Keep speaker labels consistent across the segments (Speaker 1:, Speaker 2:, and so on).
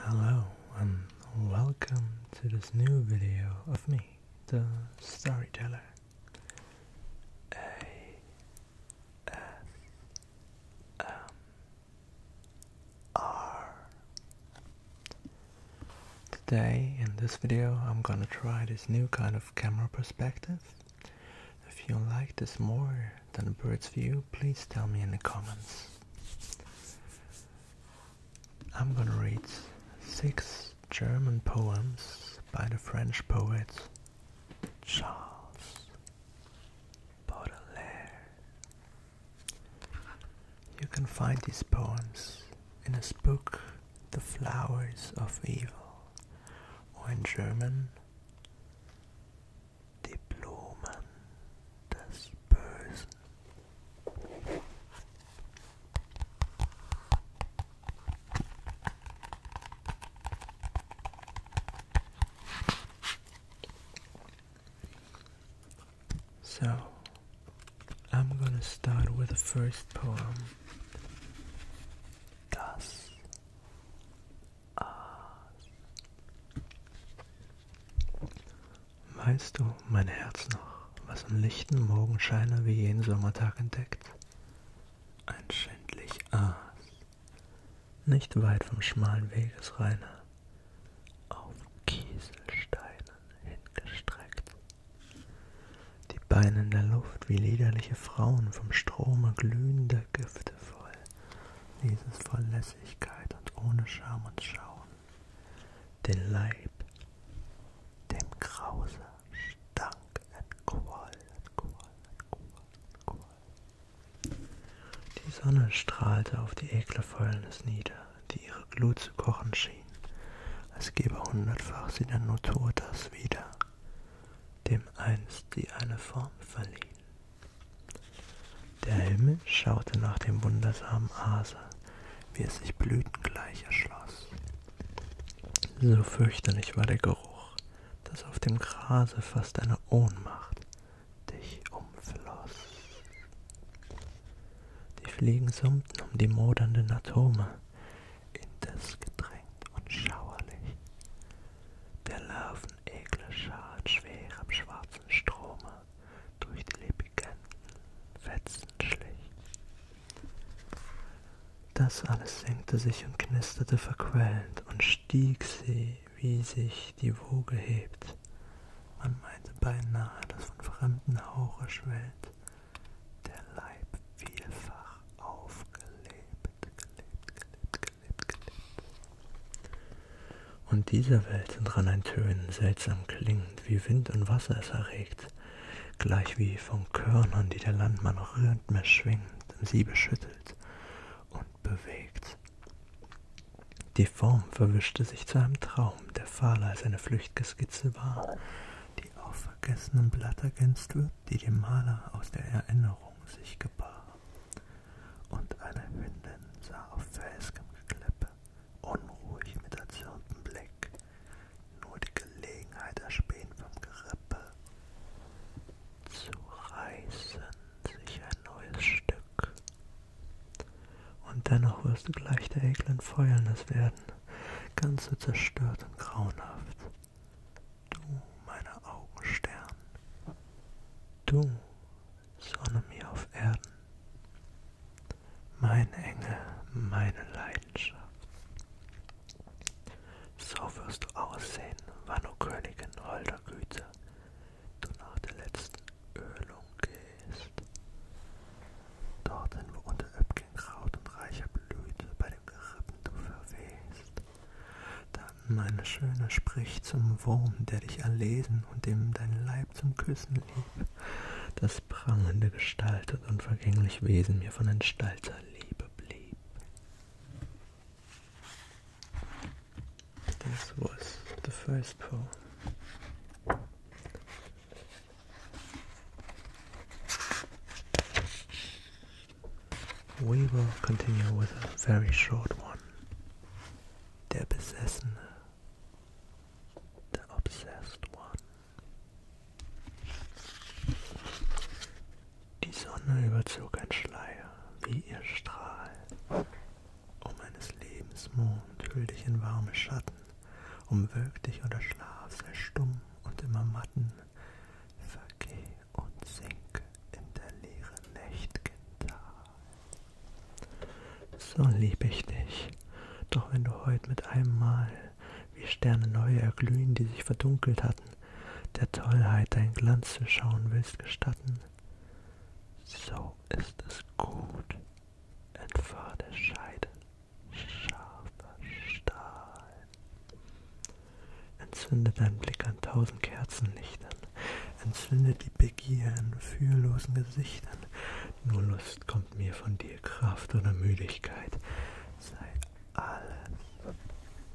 Speaker 1: Hello and welcome to this new video of me, the storyteller. A S M R. Today in this video I'm gonna try this new kind of camera perspective. If you like this more than a bird's view, please tell me in the comments. I'm gonna read six German poems by the French poet Charles Baudelaire. You can find these poems in his book The Flowers of Evil, or in German, die Blumen des So, I'm gonna start with the first poem Das aus. Weißt du, mein Herz noch, was im lichten Morgenscheine wie jeden Sommertag entdeckt? Ein schändlich Aas, nicht weit vom schmalen Weges reiner, auf Kieselsteinen hingestreckt. Die Beine in der Luft wie liederliche Frauen vom Strome glühender voll Gifte voll, dieses voll Lässigkeit und ohne Scham und Schauen, den Leib, dem Grause, Stank entquoll, entquoll, entquoll, entquoll. Die Sonne strahlte auf die Ekelfäulnis nieder, die ihre Glut zu kochen schien, als gebe hundertfach sie der Natur das wieder, dem einst sie eine Form verlieh. Der Himmel schaute nach dem wundersamen Hase, wie es sich blütengleich erschloss. So fürchterlich war der Geruch, dass auf dem Grase fast eine Ohnmacht dich umfloss. Die Fliegen summten um die modernden Atome, indes gedrängt und schauerlich der Larvenekler schart schwer am schwarzen Strome durch die lebigenden Fetzen schlich. Das alles senkte sich und knisterte verquellend und stieg sie, wie sich die Woge hebt. Man meinte beinahe, dass von fremden Hauche schwellt, der Leib vielfach aufgelebt, gelebt, gelebt, gelebt, gelebt. Und dieser Welt sind an ein Tönen seltsam klingend, wie Wind und Wasser es erregt, gleich wie von Körnern, die der Landmann rhythmisch schwingend im Sie beschüttelt und bewegt. Die Form verwischte sich zu einem Traum, der fahler als eine flüchtige Skizze war, die auf vergessenen Blatt ergänzt wird die dem Maler aus der Erinnerung sich gebar, und eine Hündin sah auf felskem Gekleppe, unruhig mit erzürntem Blick, nur die Gelegenheit erspähen vom Gerippe, zu reißen sich ein neues Stück. Und dennoch wirst du gleich der eklen Fäulnis werden, ganz so zerstört und grauenhaft, Du, meine Augenstern, du, Sonne mir auf Erden, mein Engel, meine Leidenschaft. So wirst du aussehen, wann, o Königin holder Güte, du nach der letzten Ölung gehst. Dorthin, wo unter Öpkenkraut und reicher Blüte bei dem Gerippen du verwehst. Dann, meine Schöne, sprich zum Wurm, der dich erlesen und dem dein Leib zum Küssen lieb, das prangende gestaltet und vergänglich Wesen mir von entstalter Liebe blieb. This was the first poem. We will continue with a very short one. Der Besessene. The Obsessed One. Die Sonne überzog ein Schleier, wie ihr Strahl. Um eines Lebens Mond hüll dich in warme Schatten, umwölk dich oder schlaf, sei stumm und immer matten, vergeh und sinke in der leeren nächt'gen Tal. So lieb ich dich, doch wenn du heut mit einem Mal, wie Sterne neu erglühen, die sich verdunkelt hatten, der Tollheit dein Glanz zu schauen willst gestatten, so ist es gut, entfahr der Scheide scharfer Stahl. Entzünde deinen Blick an tausend Kerzenlichtern, entzünde die Begier in fühllosen Gesichtern. Nur Lust kommt mir von dir, Kraft oder Müdigkeit. Sei alles,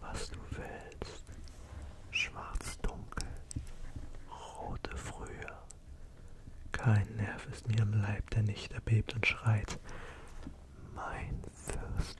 Speaker 1: was du willst. Schwarz-dunkel, rote Frühe. Kein Nerv ist mir im Leib, der nicht erbebt und schreit. Mein Fürst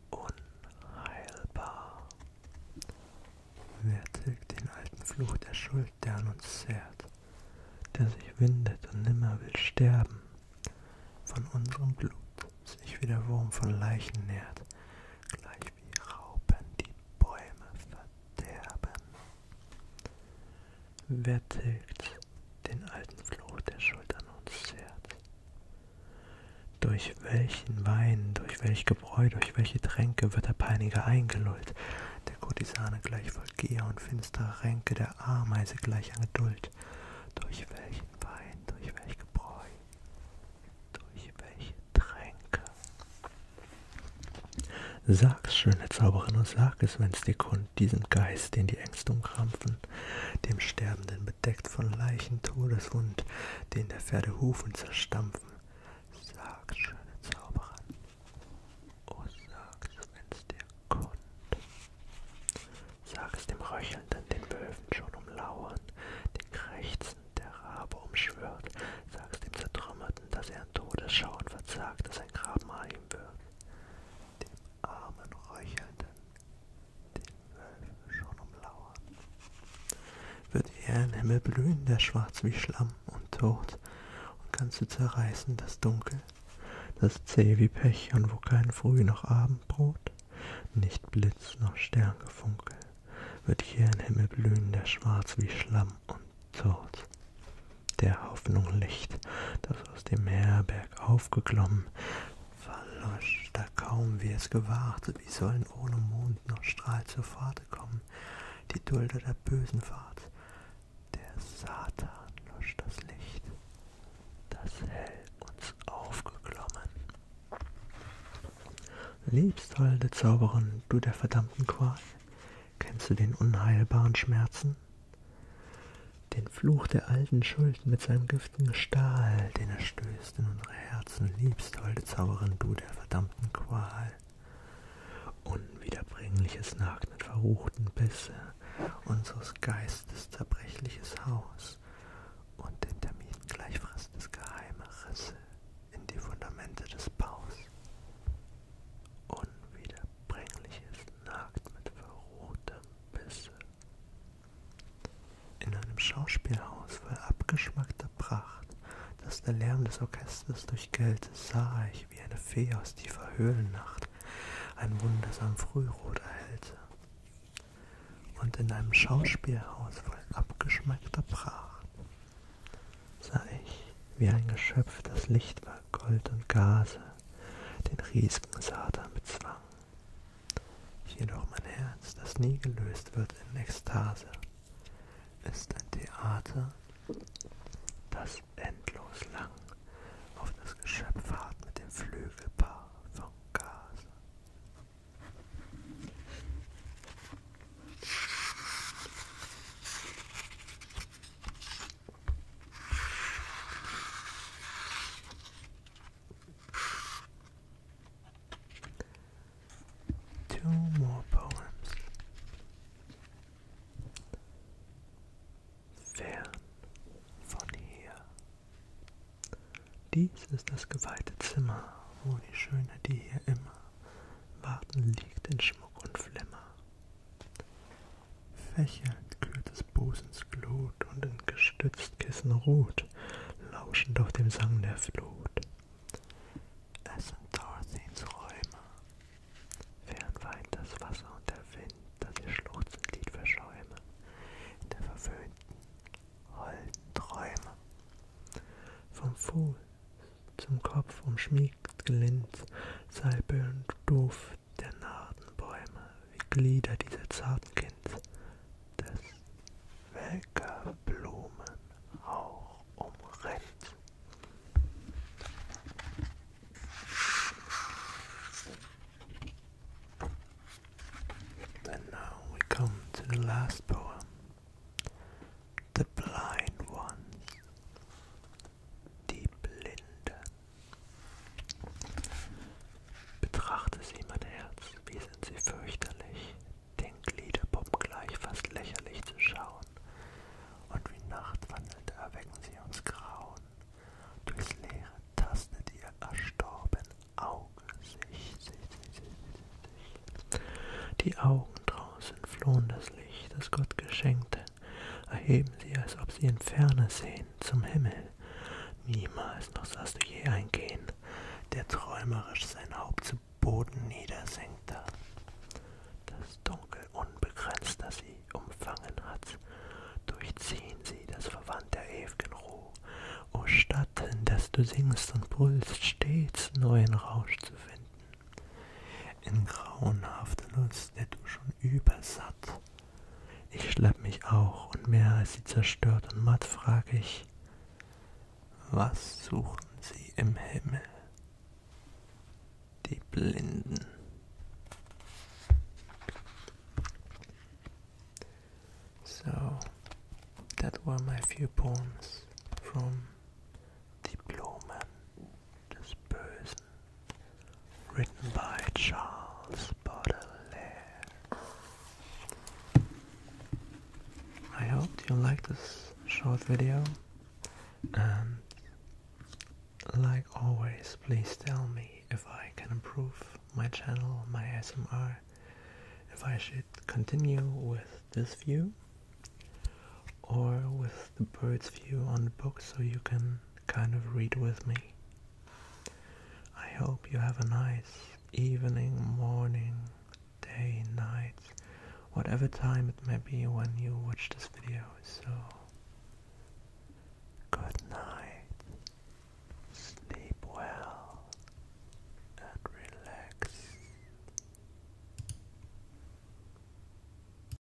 Speaker 1: unheilbar. Wer tilgt den alten Fluch der Schuld, der an uns zehrt, der sich windet und nimmer will sterben, von unserem Blut sich wie der Wurm von Leichen nährt, gleich wie Raupen die Bäume verderben. Wer tilgt den alten Fluch der Schuld an uns zehrt, durch welchen Wein, durch welch Gebräu, durch welche Tränke wird der Peiniger eingelullt, der Kurtisane gleich voll Gier und finsterer Ränke, der Ameise gleich an Geduld. Durch welchen Wein, durch welch Gebräu, durch welche Tränke. Sag's, schöne Zauberin, und sag es, wenn's dir kund, diesen Geist, den die Ängste umkrampfen, dem Sterbenden bedeckt von Leichen Todeswund, den der Pferde Hufen zerstampfen. Sag's, schöne Zauberin, oh sag's, wenn's dir konnt. Sag's dem Röchelnden, den Wölfen schon umlauern, den Krächzen der Rabe umschwört. Sag's dem Zertrümmerten, dass er an Todesschauen verzagt, dass ein Grabmal ihm wird. Dem armen Röchelnden, die Wölfe schon umlauern. Wird ihr ein Himmel blühen, der schwarz wie Schlamm und tot, und kannst du zerreißen das Dunkel, das zäh wie Pech und wo kein Früh noch Abendbrot, nicht Blitz noch Sterngefunkel, wird hier ein Himmel blühen, der schwarz wie Schlamm und tot, der Hoffnung Licht, das aus dem Meer bergauf geklommen, verlosch, da kaum wie es gewahrte, wie sollen ohne Mond noch Strahl zur Fahrt kommen, die Dulder der bösen Fahrt. Der Satan losch das Licht, das hell uns aufgeklommen. Liebst, holde Zauberin, du der verdammten Qual, kennst du den unheilbaren Schmerzen, den Fluch der alten Schuld mit seinem giftigen Stahl, den er stößt in unsere Herzen, liebst, holde Zauberin, du der verdammten Qual. Unwiederbringliches Nagen verruchten Bisse, unseres Geistes zerbrechliches Haus und den Termiten gleich frissendes geheime Risse in die Fundamente des Baus. Unwiederbringliches Nagt mit verrohtem Bisse, in einem Schauspielhaus voll abgeschmackter Pracht, dass der Lärm des Orchesters durchgellte, sah ich, wie eine Fee aus tiefer Höhlennacht ein wundersam Frührot erhellte. Und in einem Schauspielhaus voll abgeschmackter Pracht sah ich, wie ein Geschöpf, das Licht war Gold und Gase, den riesigen Satan bezwang. Jedoch mein Herz, das nie gelöst wird in Ekstase, ist ein Theater, das endlos lang auf das Geschöpf hart mit dem Flügelpaar von Gase. Two more poems. Fern von hier. Dies ist das geweihte Zimmer, wo die Schöne, die hier immer warten, liegt in Schmuck und Flimmer. Fächernd glüht des Busens Glut und in Gestützkissen ruht, lauschend auf dem Sang der Flut. Es sind Thorsteins Räume, fernweit das Wasser und der Wind, dass ihr schluchzend Lied verschäume, in der verwöhnten, holden Träume. Vom Fuß zum Kopf umschmiegt gelind, Salbe und doof der Nardenbäume wie Glieder dieser Zartkind des welker Blumen auch umrennt. And now we come to the last poem, The Blind Ones die Blinden. Betrachte sie, mein Herz, wie sind sie fürchterlich, den Gliederpuppen gleich fast lächerlich zu schauen, und wie Nachtwandelnd erwecken sie uns Grauen, durchs Leere tastet ihr erstorben Auge sich, sich, sich, sich, sich. Die Augen draußen flohen das Licht, das Gott geschenkte, erheben sie, als ob sie in Ferne sehen, zum Himmel. Niemals noch sahst du je ein Gehen, der träumerisch sein Haupt zu Boden niedersenkte. Das Dunkel unbegrenzt, das sie umfangen hat, durchziehen sie das Verwand der ew'gen Ruhe. O Stadt, in das du singst und brüllst, stets neuen Rausch zu finden. In grauenhafter Lust, der du schon übersatt, ich schlepp mich auch und mehr als sie zerstört und matt frage ich, was suchen sie im Himmel? Die Blinden. So, that were my few poems from Diplomen. this person, written by Charles Baudelaire. I hope you like this short video and like always please tell me if I can improve my channel, my ASMR, if I should continue with this view or with the bird's view on the book so you can kind of read with me. I hope you have a nice evening, morning, day, night, whatever time it may be when you watch this video. So, good night, sleep well, and relax.